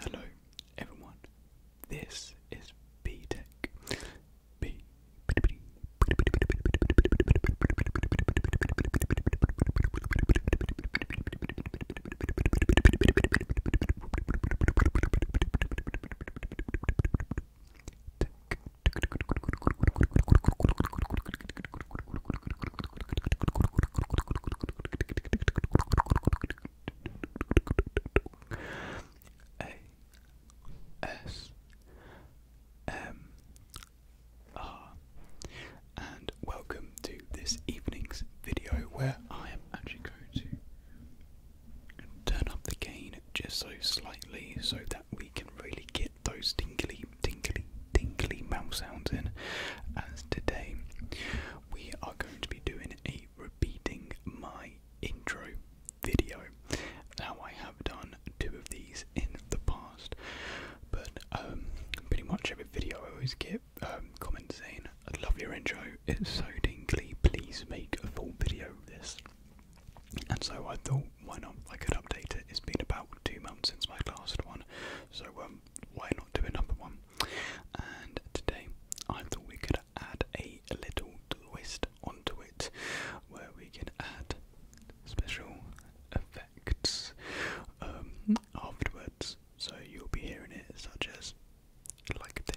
Hello everyone, this is B Tech. A S M R and welcome to this evening's video where I am actually going to turn up the gain just so slightly so that we can really get those tingly, tingly, tingly mouth sounds in as today we are going to be doing a repeating my intro video. Now, I have done two of these in the past, but um, pretty much every video I always get um, comments saying, I love your intro, it's so dinkly, please make a full video of this. And so I thought, why not? I could update it. It's been about two months since my last one, so um, why not do a number one? And today I thought we could add a little twist onto it where we can add special effects um, afterwards. So you'll be hearing it such as like this.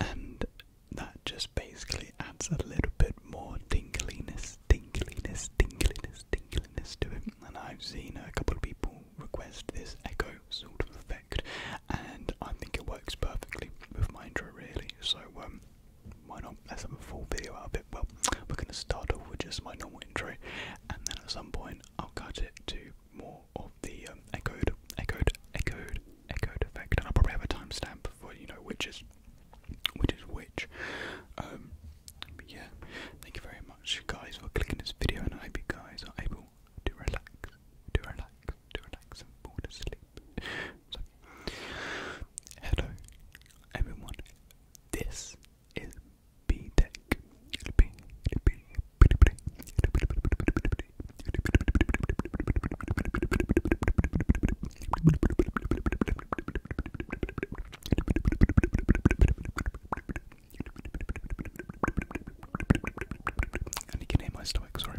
And that just basically adds a little bit more tinkliness, tinkliness, tinkliness, tinkliness to it. And I've seen a couple of people request this echo sort of effect, and I think it works perfectly with my intro, really. So, um, why not? Let's have a full video out of bit. Well, we're going to start off with just my normal intro, and then at some point I'll cut it to more of the um, echoed, echoed, echoed, echoed effect, and I'll probably have a timestamp for you know which is which is which. Um, yeah, thank you very much, guys, for clicking this video, and I hope you guys are able to relax, to relax, to relax, and fall to hello, everyone. This is B Tech. And you can hear my stomach, sorry.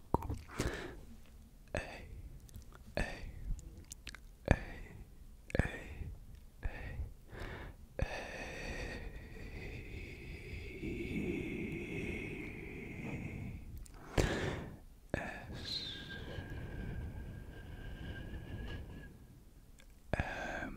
A A A A A A S M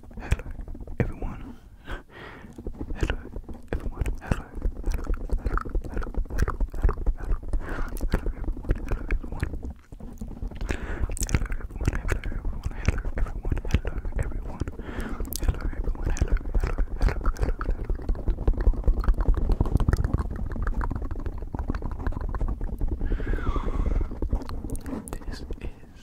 Hello, everyone. Hello, everyone. Hello, hello, hello, hello, hello, hello, hello, hello, everyone. Hello, everyone. Hello, everyone. Hello, everyone. Hello, everyone. Hello, everyone. Hello, everyone. Hello, hello, hello, hello, hello. This is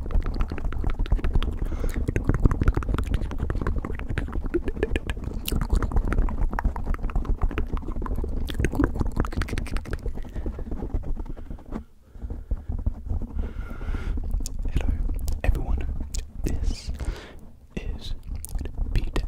Hello, everyone. This is B Tech.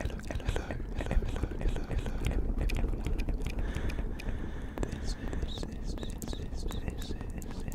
hello, hello, hello, hello, hello, hello, hello, hello. This is this this this this is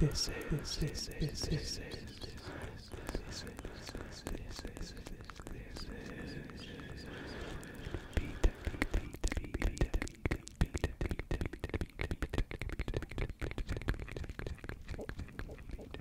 This is this is this is this is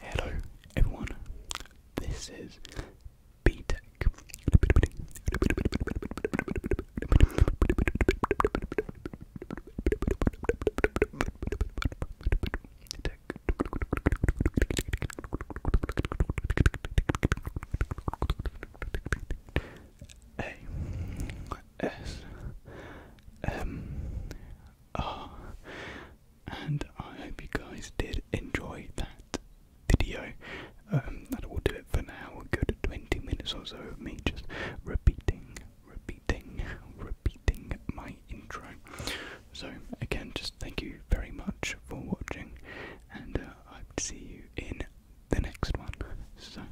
Hello, everyone. This is B Tech. Tech. A S M R and I hope you guys did enjoy that video. And um, that will do it for now. We're good 20 minutes or so of me just repeating, repeating, repeating my intro. So, again, just thank you very much for watching, and uh, I'll see you in the next one. So,